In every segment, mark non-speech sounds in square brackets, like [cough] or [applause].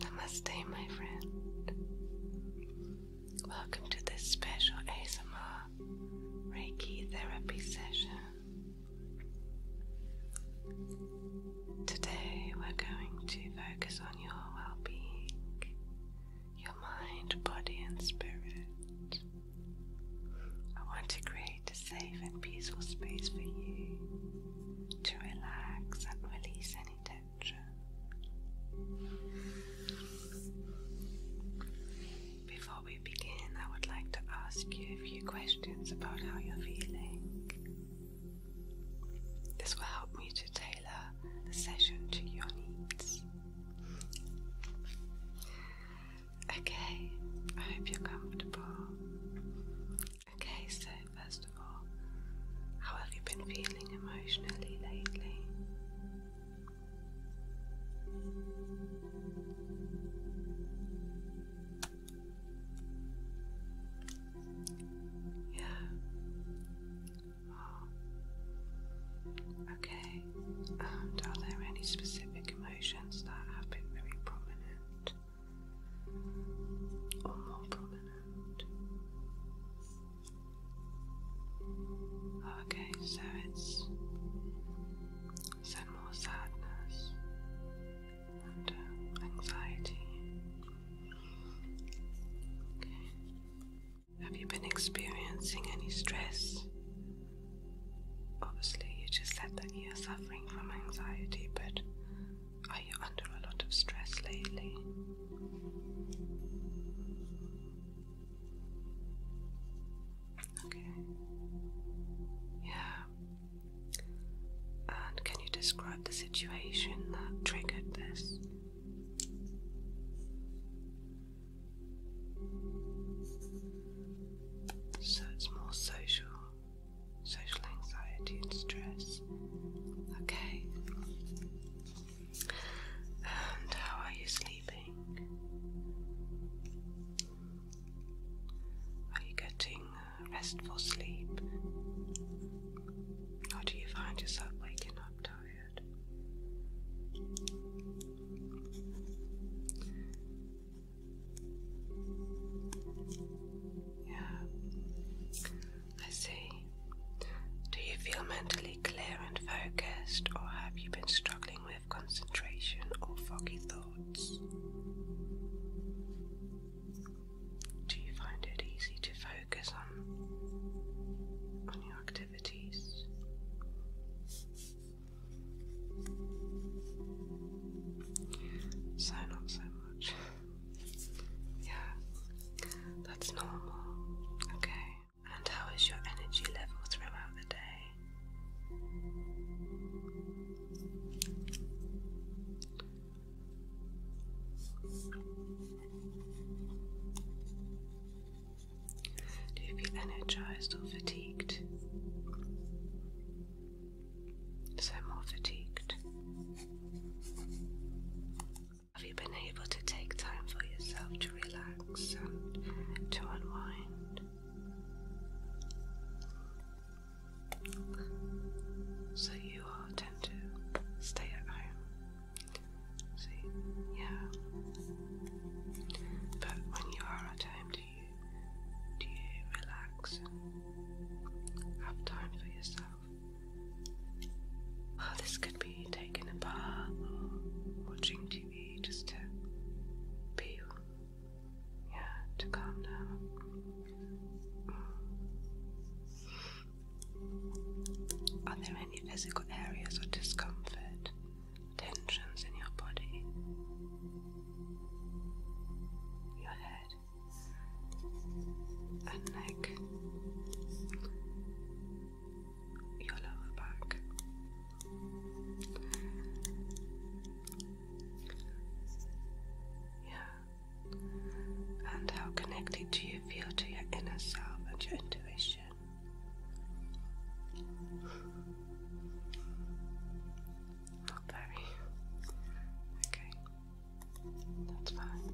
Namaste, my friend. Welcome to this special ASMR Reiki therapy session. Today, we're going to focus on your well being, your mind, body, and spirit. I want to create a safe and peaceful space for you to relax and release any tension. Before we begin, I would like to ask you a few questions about how you're feeling. This will help me to tailor the session to your needs. Okay, I hope you're comfortable. Okay, so first of all, how have you been feeling emotionally lately? Yeah. Oh. Okay. And are there any specific emotions that have been very prominent? or more prominent. Okay, so it's some more sadness and uh, anxiety. Have you been experiencing any stress? Obviously, you just said that you're suffering from anxiety, but are you under a lot of stress lately? Okay. Yeah. And can you describe the situation that triggered this? So it's more social social anxiety and stress. Okay. And how are you sleeping? Are you getting uh, restful sleep? Or do you find yourself waking up tired? Yeah. I see. Do you feel mentally clear and focused, or have you been struggling with concentration or foggy thoughts? Do you find it easy to focus on on your activities? So not so yeah, that's normal. Okay. And how is your energy level throughout the day? Do you feel energized or fatigued? so more fatigued. Have you been able to take time for yourself to relax and to unwind? So you all tend to stay at home. See, yeah. But when you are at home, do you relax have time for yourself? Oh, this could be taking a bath or watching TV just to be, yeah, to calm down. Mm. Are there any physical areas of discomfort, tensions in your body? Your head, and neck, your lower back. Yeah. And how connected do you feel to your inner self and your intuition? Not very. Okay. That's fine.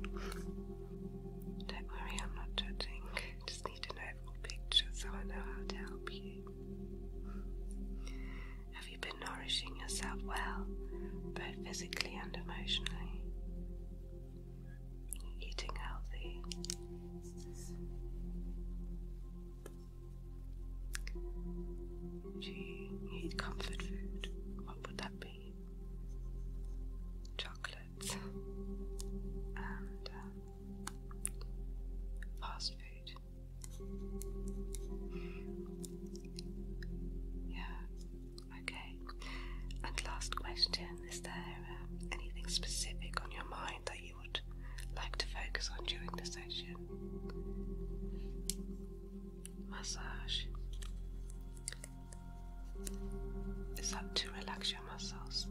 Don't worry, I'm not judging. Just need an overall picture so I know how to help you. Have you been nourishing yourself well, both physically and emotionally? Eating healthy. Do you eat comfort food? What would that be? Chocolate and um, fast food. Yeah, okay. And last question is there um, anything specific on your mind that you would like to focus on during this Massage it's up to relax your muscles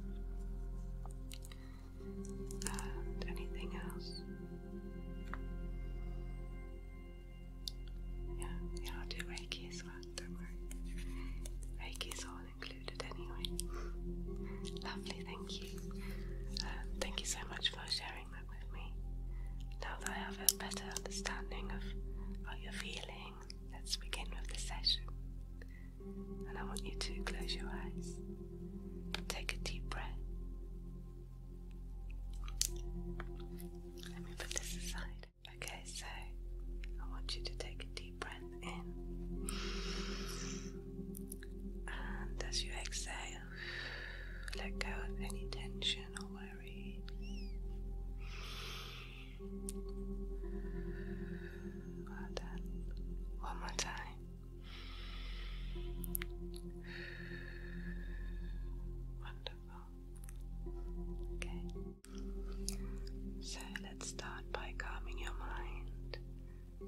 and anything else. Yeah, yeah, do Reiki as well, don't worry. Reiki is all included anyway. [laughs] Lovely, thank you. Um, thank you so much for sharing now that I have a better understanding of how you're feeling, let's begin with the session. And I want you to close your eyes, take a deep breath. Let me put this aside. Okay, so I want you to take a deep breath in and as you exhale, let go of any tension or worry. Well done. One more time. Wonderful. Okay. So let's start by calming your mind I'm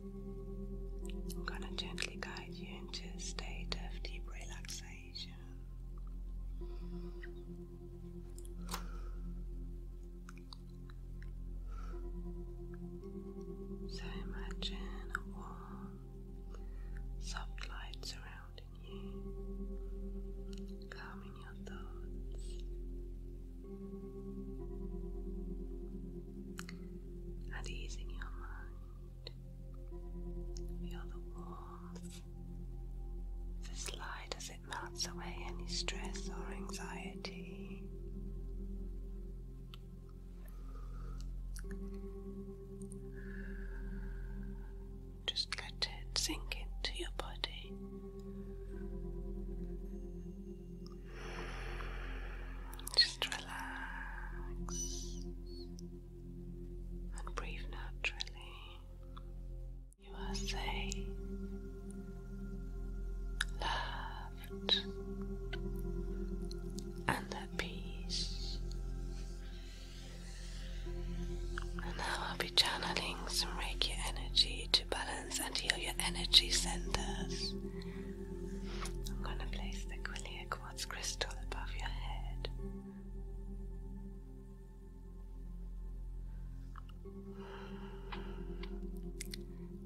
going to gently guide you into a state of deep relaxation. So imagine warm, soft light surrounding you, calming your thoughts. And easing your mind. Feel the warmth of this light as it melts away any stress or anxiety. Just let it sink into your body. Just relax and breathe naturally. You are safe, loved, and at peace. And now I'll be channeling some Reiki energy to balance and heal your energy centers. I'm going to place the quilly clear crystal above your head.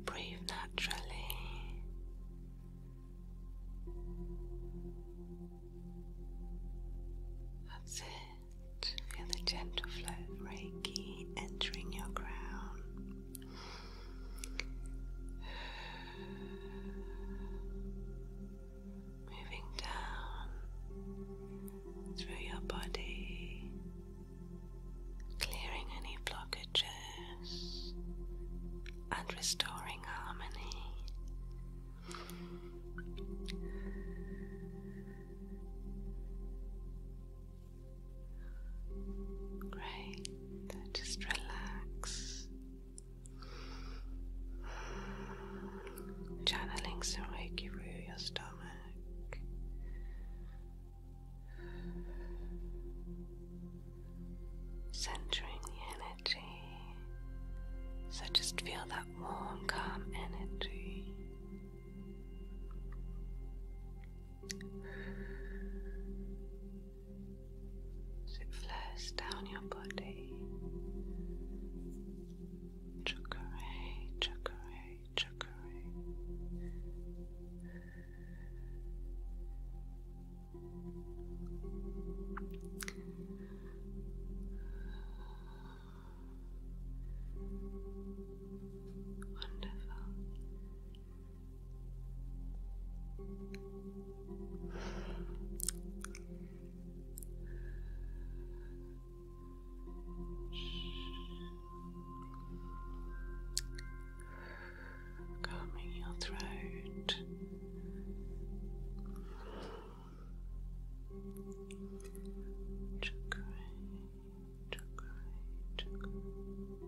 Breathe naturally. That's it. Feel the gentle flow of Reiki entering your crown. Moving down through your body, clearing any blockages and restoring harmony. Great. Just relax. Channeling some Reiki through your stomach. Centering the energy. So just feel that warm, calm energy as it flows down your body. Chakray, chakray, chakray. Wonderful. Calming your throat. Chakra, chakra, chakra.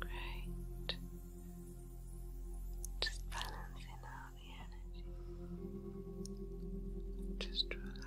Great. Just balancing out the energy. Just relax.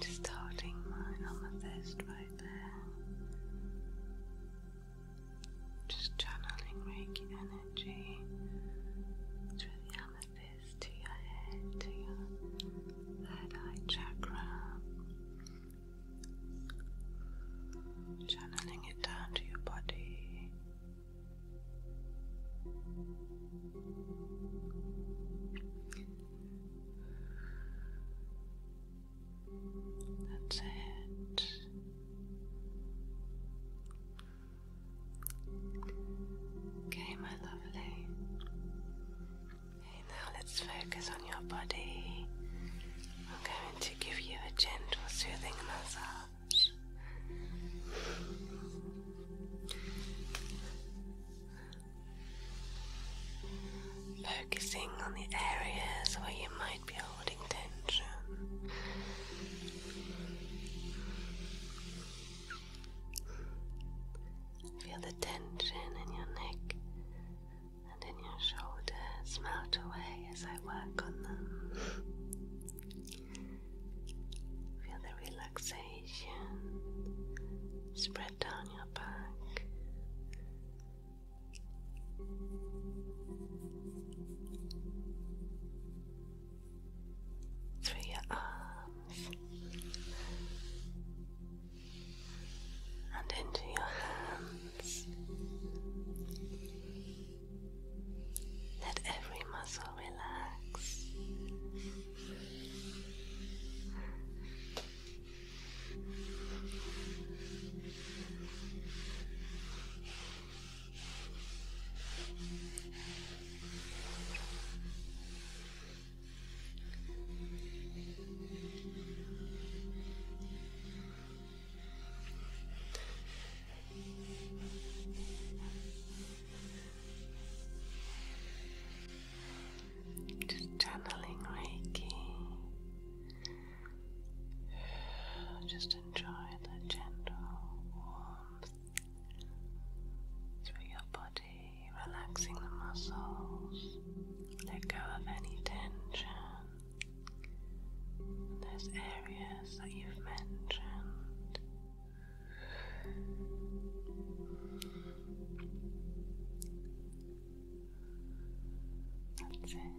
Just holding mine on the fist right there. Just channeling Reiki energy through the amethyst to your head, to your third eye chakra. Channeling it down to your body, that's it. Okay, my lovely. now let's focus on your body. I'm going to give you a gentle, soothing massage. Focusing on the areas where you might be holding tension. Feel the tension in your neck and in your shoulders melt away as I work on them. Feel the relaxation spread down your back. Through your arms and into your hands, let every muscle relax. Just channeling Reiki. Just enjoy the gentle warmth through your body, relaxing the muscles. Let go of any tension those areas that you've mentioned. That's it.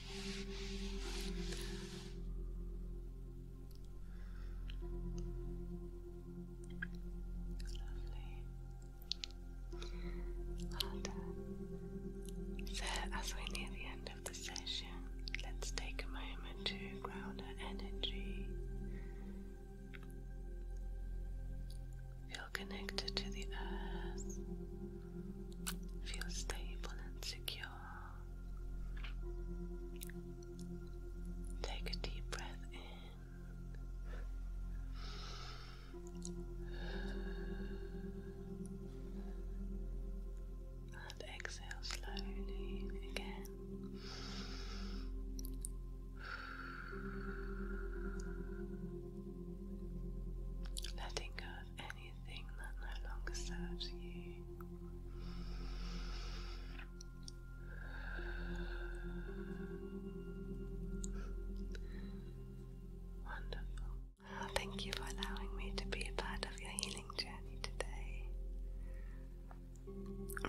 Well done. So, as we near the end of the session, let's take a moment to ground our energy. Feel connected to the earth Feel stable and secure. Take a deep breath in and exhale slowly again. Letting go of any thank you for allowing me to be a part of your healing journey today.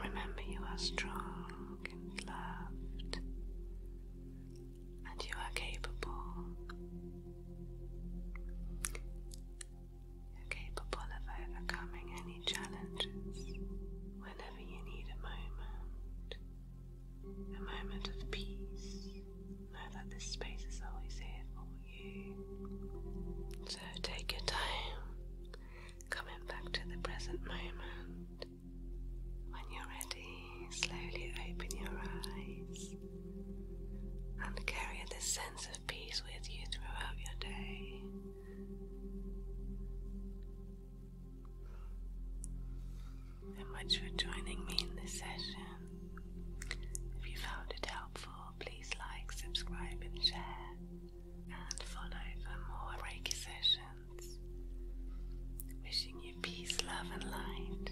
Remember, you are strong and loved and you are capable. You're capable of overcoming any challenges whenever you need a moment. A moment of peace. Know that this space is always here for you. So take your time, coming back to the present moment. When you're ready, slowly open your eyes and carry this sense of peace with you throughout your day. So much for joining me in this session. If you found it helpful, please like, subscribe, and share, and follow for more Reiki sessions. Wishing you peace, love, and light.